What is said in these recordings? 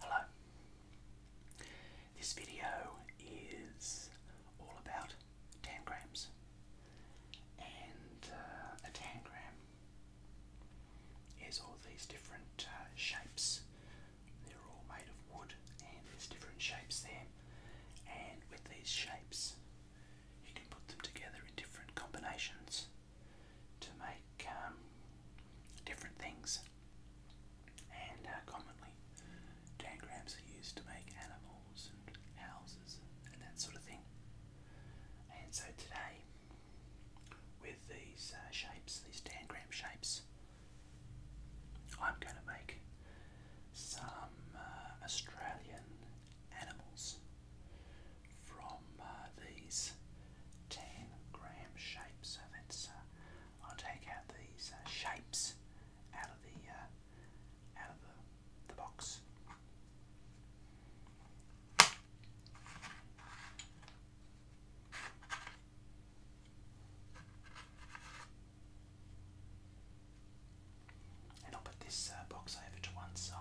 Hello. This video is all about tangrams and uh, a tangram is all these different uh, shapes. They're all made of wood and there's different shapes there and with these shapes you can put them together in different combinations to make um, different things. And uh, commonly, tangrams are used to make animals and houses and that sort of thing. And so today, with these uh, shapes, these tangram shapes, I'm going to make some uh, Australian animals from uh, these 10 gram shapes. So that's, uh, I'll take out these uh, shapes out of the, uh, out of the, the box. And I'll put this uh, box over to one side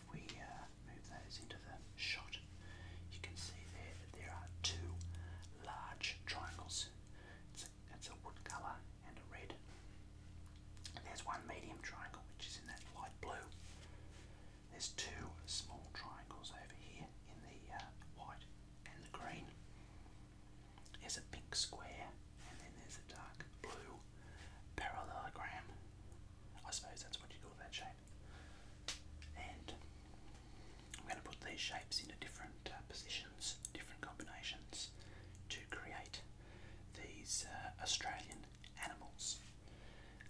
if we uh, move those into the shot, you can see there there are two large triangles. It's a, wood colour and a red. there's one medium triangle, which is in that light blue. There's two small triangles over here in the uh, white and the green. There's a pink square, and then there's a dark blue parallelogram. I suppose that's what you call that shape. And I'm going to put these shapes into different uh, positions, different combinations to create these uh, Australian animals.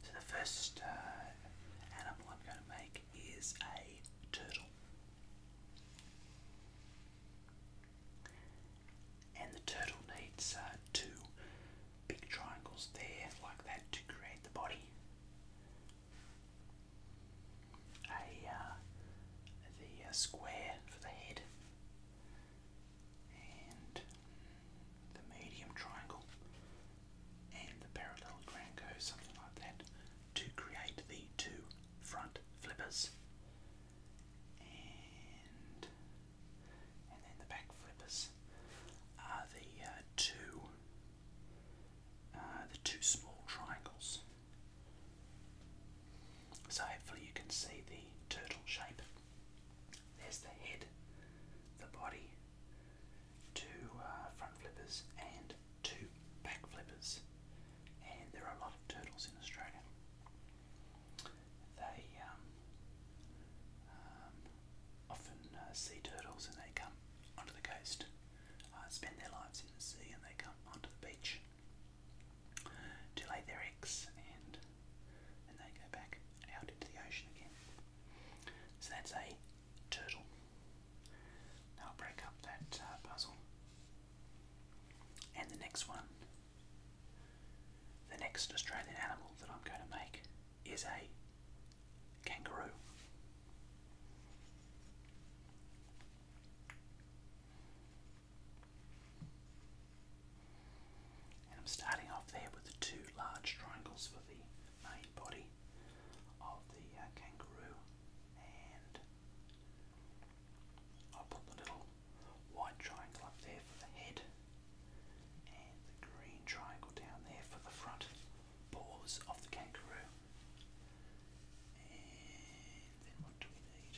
So the first uh, animal I'm going to make is a turtle. And the turtle needs uh, two big triangles there like that to create the body. A uh, the uh, square for the head and the medium triangle and the parallelogram goes something like that to create the two front flippers and then the back flippers are the uh, two uh, the two small triangles. So hopefully you can see the turtle shape. There's the head, the body, two uh, front flippers and two back flippers. And there are a lot of turtles in Australia they um, um, often uh, see turtles and they come onto the coast, uh, spend their lives in the sea, and they come onto the beach to lay their eggs, and and they go back out into the ocean again. So that's a turtle. Now break up that uh, puzzle. And the next one the next Australian animal that I'm going to make is a kangaroo. I'm starting off there with the two large triangles for the main body of the uh, kangaroo, and i put the little white triangle up there for the head and the green triangle down there for the front paws of the kangaroo. And then what do we need?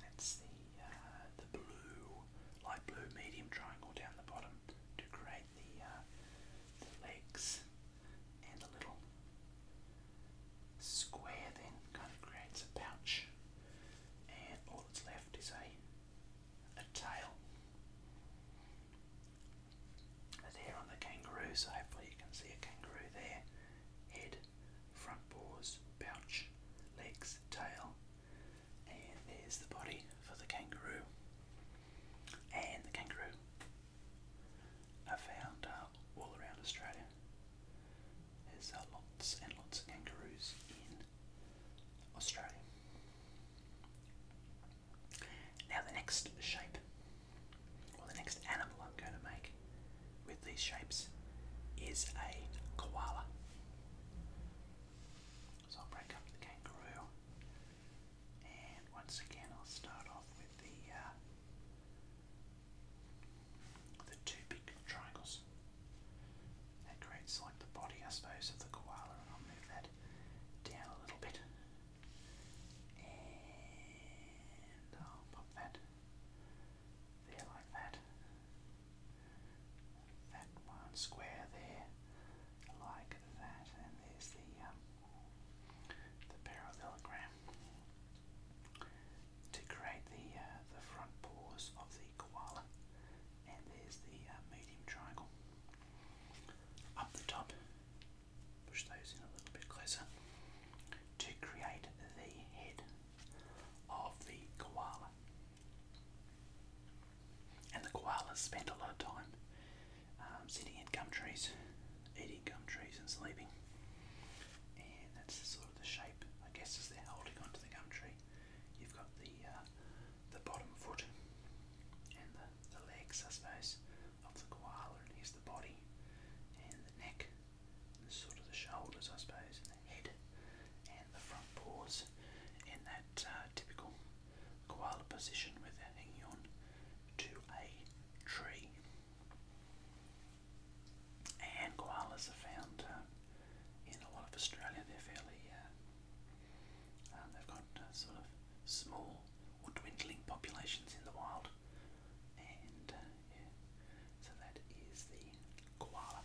That's the uh, the blue, light blue, medium triangle down the bottom to create the, uh, the legs and the little square then kind of creates a pouch and all that's left is a, a tail there on the kangaroo so hopefully you can see a kangaroo there head front paws pouch legs tail and there's the body for the kangaroo and the kangaroo I found uh, all around Australia. There's uh, lots and lots of kangaroos in Australia. Now the next shape, or the next animal I'm going to make with these shapes is a koala. So I'll break up the kangaroo and once again I'll start off with the uh, the two big triangles. That creates like the body, I suppose, of the koala, and I'll move that down a little bit. And I'll pop that there like that. That one square there, like that, and there's the um, the parallelogram to create the uh, the front paws of the koala, and there's the uh, medium triangle. Up the top, push those in a little bit closer to create the head of the koala. And the koalas spend a lot of time um, sitting in gum trees, eating gum trees, and sleeping and that's sort of the shape, I guess, as they're holding onto the gum tree. You've got the uh, the bottom foot and the, the legs, I suppose, of the koala, and here's the body and the neck, and sort of the shoulders, I suppose, and the head and the front paws in that uh, typical koala position with they're hanging on to a tree. And koalas are found uh, in a lot of Australia. They're fairly, uh, um, they've got uh, sort of small or dwindling populations in the wild. And so that is the koala.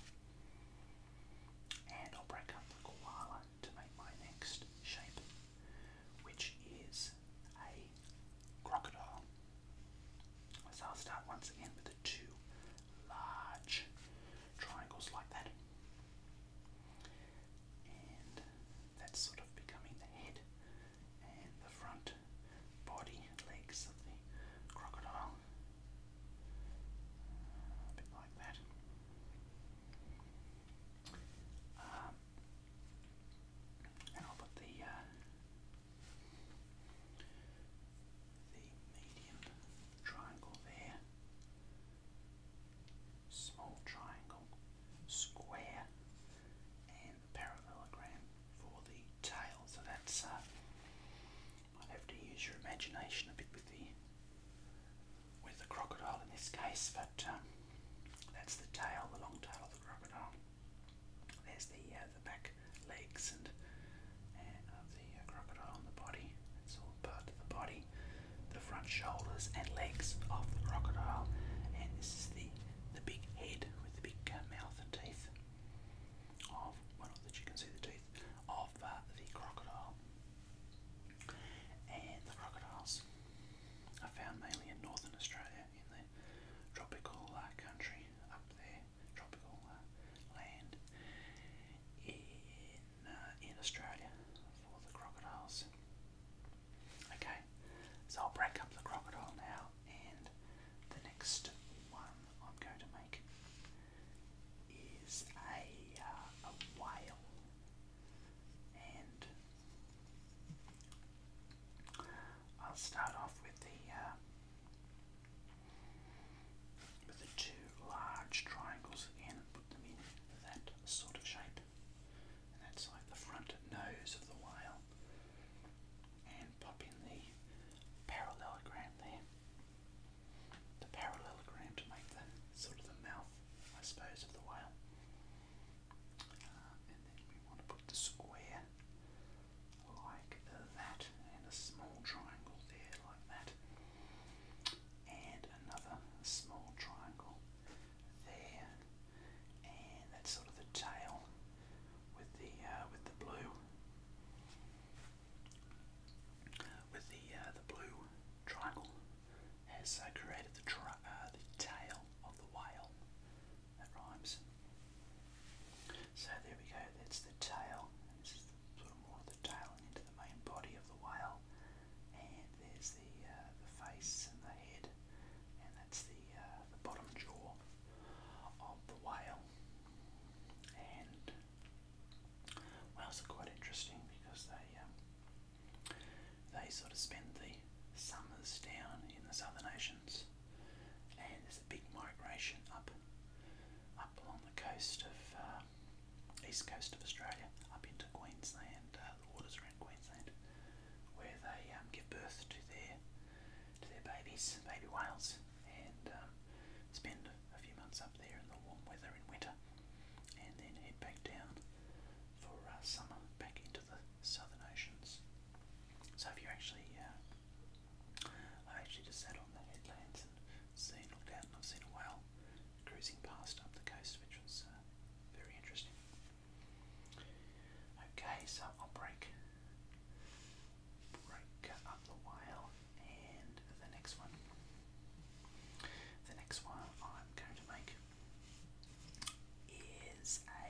And I'll break up the koala to make my next shape, which is a crocodile. So I'll start once again with the two large triangles like that. And that's sort of becoming the head and the front body legs of the crocodile. A bit like that. Um, and I'll put the uh, the medium triangle there, small triangle, square, and parallelogram for the tail. So that's, uh, i have to use your imagination a bit with the with the crocodile in this case, but um, that's the tail, the long tail of the crocodile. There's the uh, the back legs and uh, of the uh, crocodile on the body. It's all part of the body, the front shoulders and legs of the crocodile, and this is the the big head with the big mouth and teeth of well not that you can see the teeth of the crocodile. And the crocodiles are found mainly in northern Australia in the tropical uh, country up there, tropical uh, land in uh, in Australia for the crocodiles. Okay, so I'll break up the crocodile now, and the next one I'm going to make is a a whale, and I'll start off with the uh, with the two large triangles again put them in that sort of shape. And that's like the front nose of the whale. And pop in the parallelogram there. The parallelogram to make the sort of the mouth, I suppose, of the whale. Uh, and then we want to put the square like that, and a small triangle there like that, and another small triangle there, and that's sort of the tail with the uh, with the blue with the uh, the blue triangle has uh, created the tail of the whale. That rhymes. So there we go, that's the tail. And this is the, sort of more of the tail and into the main body of the whale. And there's the, uh, the face and the head. And that's the, uh, bottom jaw of the whale. And whales are quite interesting because they um, they sort of spend the summers down in the southern oceans and there's a big migration up up along the coast of uh, east coast of Australia, up into Queensland, uh, the waters around Queensland, where they um, give birth to their to their babies, baby whales, and um, spend a few months up there in the warm weather in winter, and then head back down for uh, summer back into the southern oceans. So if you actually, uh, i actually just sat on the headlands and seen, looked out and I've seen a whale cruising past up the coast, which was uh, very interesting. Okay, so I'll break, break up the whale and the next one. The next one I'm going to make is a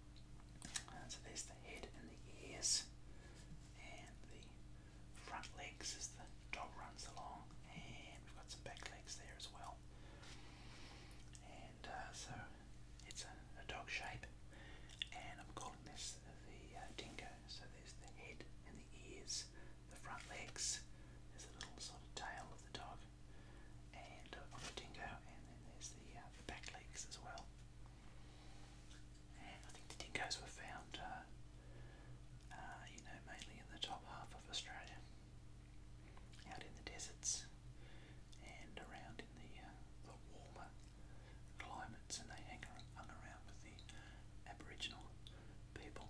so there's the head and the ears, and the front legs as the dog runs along, and we've got some back legs there as well. And uh, so it's a, dog shape, and I'm calling this the uh, dingo. So there's the head and the ears, the front legs, there's a little sort of tail of the dog, and uh, of the dingo, and then there's the uh, back legs as well. And I think the dingoes were found, uh, uh, you know, mainly in the top half of Australia, out in the deserts and around in the, uh, the warmer climates, and they hang, around with the Aboriginal people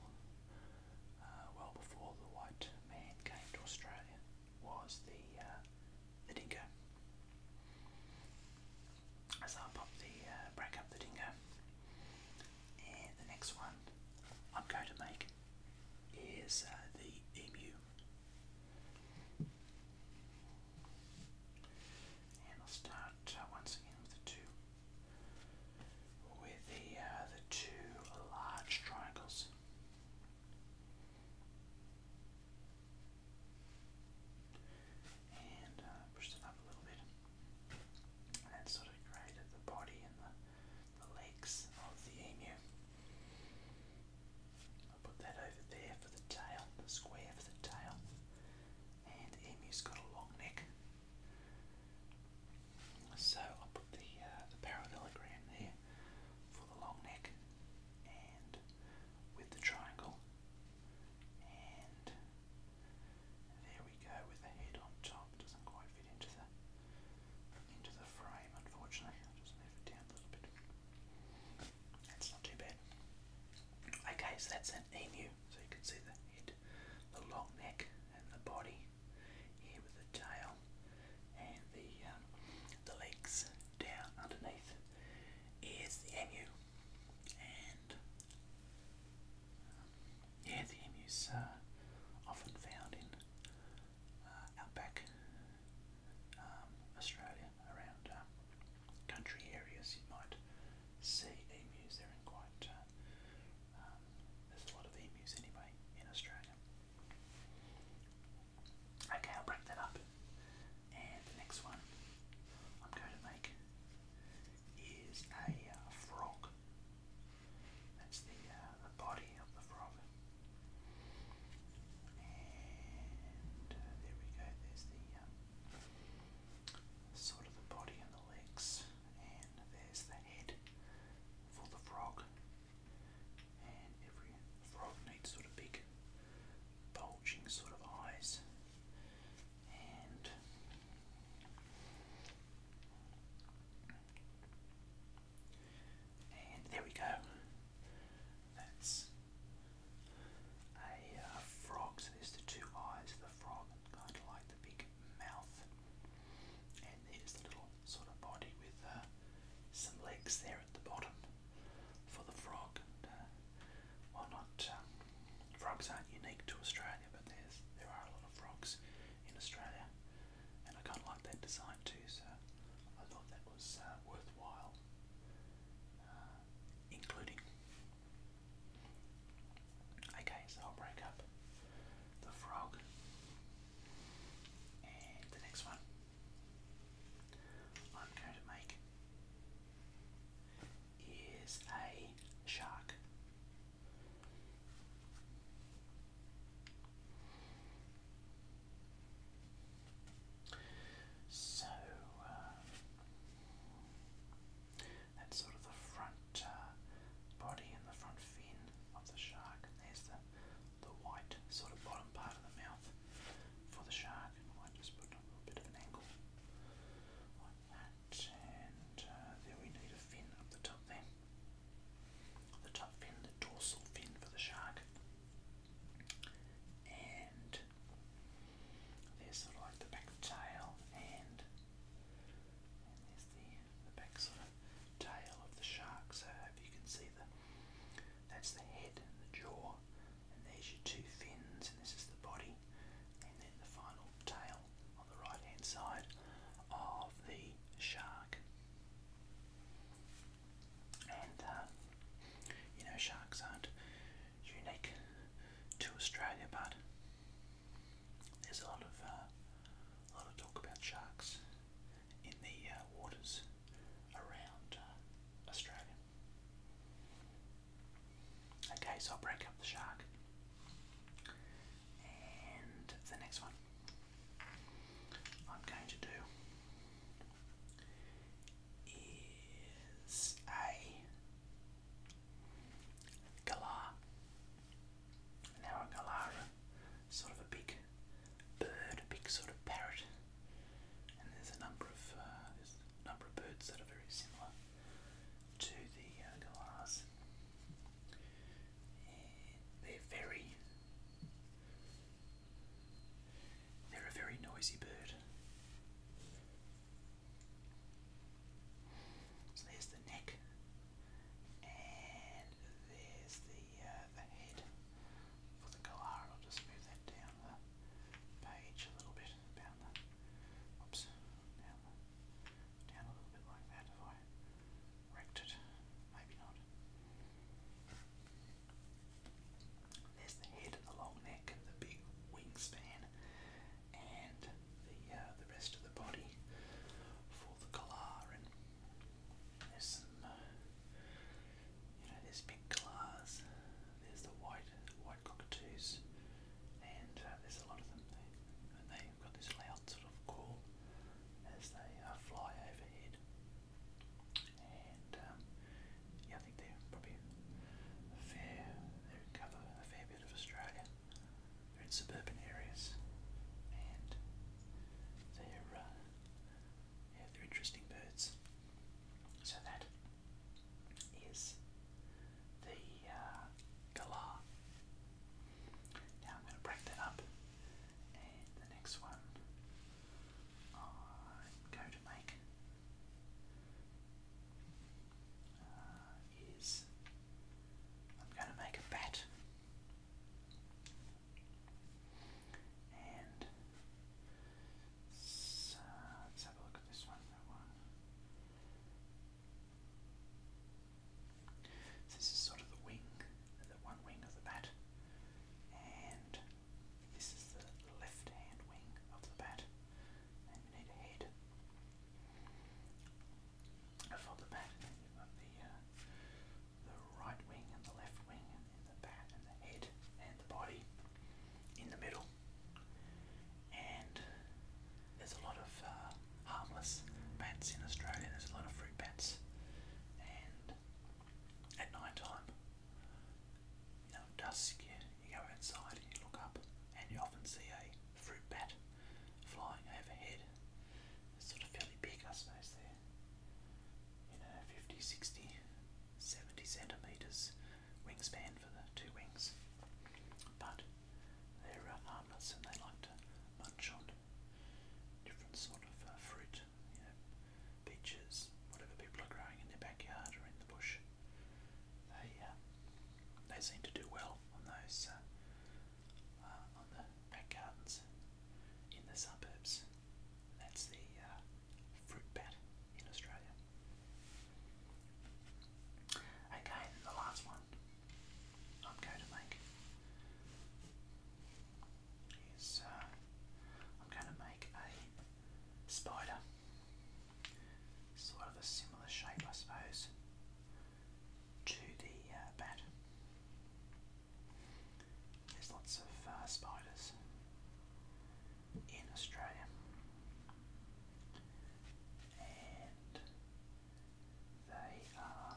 well before the white man came to Australia. Was the the dingo. So I'll pop the uh, break up the dingo. And the next one I'm going to make is uh, the emu. And I'll start uh, once again with the two, with the the two large triangles and uh, it up a little bit, and sort of created the body and the, the legs of the emu. I'll put that over there for the tail, the square for the tail, and emu's got a long neck. So I'll put the, uh, the parallelogram there for the long neck and with the triangle. And there we go with the head on top. Doesn't quite fit into the into the frame, unfortunately. just move it down a little bit. That's not too bad. Okay, so that's an emu. So you can see the head, the long neck, and the body here with the tail, and the um, the legs down underneath is the emu, and yeah, the emu's uh, often found in uh, outback um, Australia, around uh, country areas. You might see emus; there in quite. Uh, um, there's a lot of emus anyway in Australia. Okay, I'll break that up. And the next one I'm going to make is a uh, frog. That's the, uh, the body of the frog. And uh, there we go, there's the sort of the body and the legs, and there's the head for the frog and every frog needs sort of big bulging sort of eyes and there we go. That's a uh, frog. So there's the two eyes of the frog, kind of like the big mouth. And there's the little sort of body with uh, some legs there at the bottom for the frog. And, uh, well, not um, frogs aren't unique to Australia, but there's there are a lot of frogs in Australia, and I kind of like that design too. So I thought that was uh, worthwhile uh, including. Okay, so I'll break up the frog and the next one. I'm going to make is a shark. So uh, that's sort of the front uh, body and the front fin of the shark, there's the the white sort of bottom part of the mouth for the shark. I just put a bit of an angle like that, and uh, we need a fin up the top there. The top fin, the dorsal fin for the shark, and there's sort of like the back tail, and, there's the, back sort of tail of the shark. So I you can see the that's the head and the jaw, and there's your two fins, and this is the body, and then the final tail on the right hand side of the shark. And uh, you know, sharks aren't unique to Australia, but there's a lot of uh, a lot of talk about sharks in the uh, waters around uh, Australia. Okay, so I'll break up the shark. And the next one I'm going to do is a galah. Now a galah sort of a big bird, a big sort of parrot, and there's a number of uh, number of birds that are very similar to the galahs. Uh, and they're very they're a very noisy bird. So there's the neck there's the, uh, the head for the Galar. I'll just move that down the page a little bit oops, down a little bit like that if I wrecked it. Maybe not. There's the head, the long neck, and the big wingspan, and the uh, the rest of the body for the collar. there's some uh, you know, there's big glass, there's the white white cockatoos, and uh, there's a lot of them. And they've got this loud sort of call as they uh, fly overhead. And um, yeah, I think they are probably a fair, they cover a fair bit of Australia. They're in suburban areas, and they're uh, yeah, they're interesting birds. So that is the uh, galah. Now I'm going to break that up, and the next one I'm going to make uh, is I'm going to make a bat. And so let's have a look at this one. this is sort of the wing, the one wing of the bat, and this is the left hand wing of the bat. And we need a head for the bat, and the uh, the right wing and the left wing, and the bat and the head and the body in the middle. And there's a lot of uh, harmless bats in Australia. There's a lot of fruit bats, and at night time, you dusk, you go outside and you look up, and you often see a fruit bat flying overhead sort of fairly big, I suppose, there. You know, 50, 60, 70 centimetres wingspan for the two wings. But they're uh, harmless and they like to munch on different sort of uh, fruit, you know, peaches, whatever people are growing in their backyard or in the bush. They, uh, they seem to do well on those, on the back in the suburbs. That's the uh, fruit bat in Australia. Okay, the last one I'm going to make is uh, I'm going to make a spider, sort of a similar shape, I suppose, to the uh, bat. There's lots of uh, spiders in Australia, and they are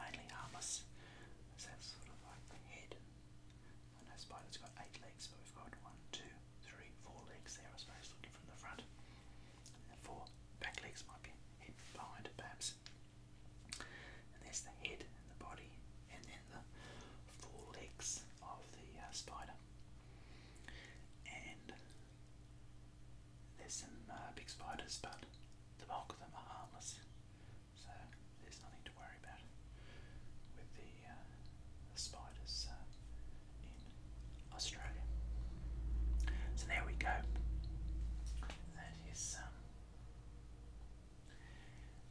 mainly harmless. So that's sort of like the head. I know spiders got eight legs, but we've got one, two, three, four legs there. I suppose looking from the front, and the four back legs might be hidden behind, perhaps there's the head and the body, and then the four legs of the uh, spider. And there's some uh, big spiders, but the bulk of them are harmless, so there's nothing to worry about with the, uh, spiders in Australia. So there we go. That is um,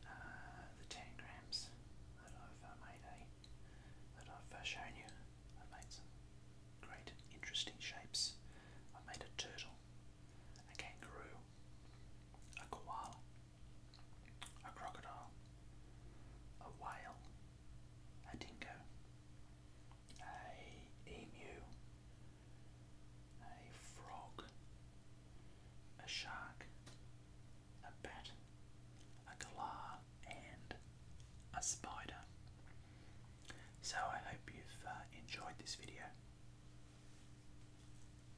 uh, the 10 grams that I've uh, made a, eh? that I've uh, shown you, I made some great interesting shapes. I made a turtle, a kangaroo, a koala, a crocodile, a whale, a dingo, a emu, a frog, a shark, a bat, a galah, and a spider. So I hope you've uh, enjoyed this video.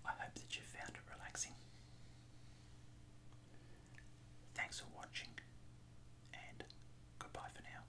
I hope that you found it relaxing. Thanks for watching and goodbye for now.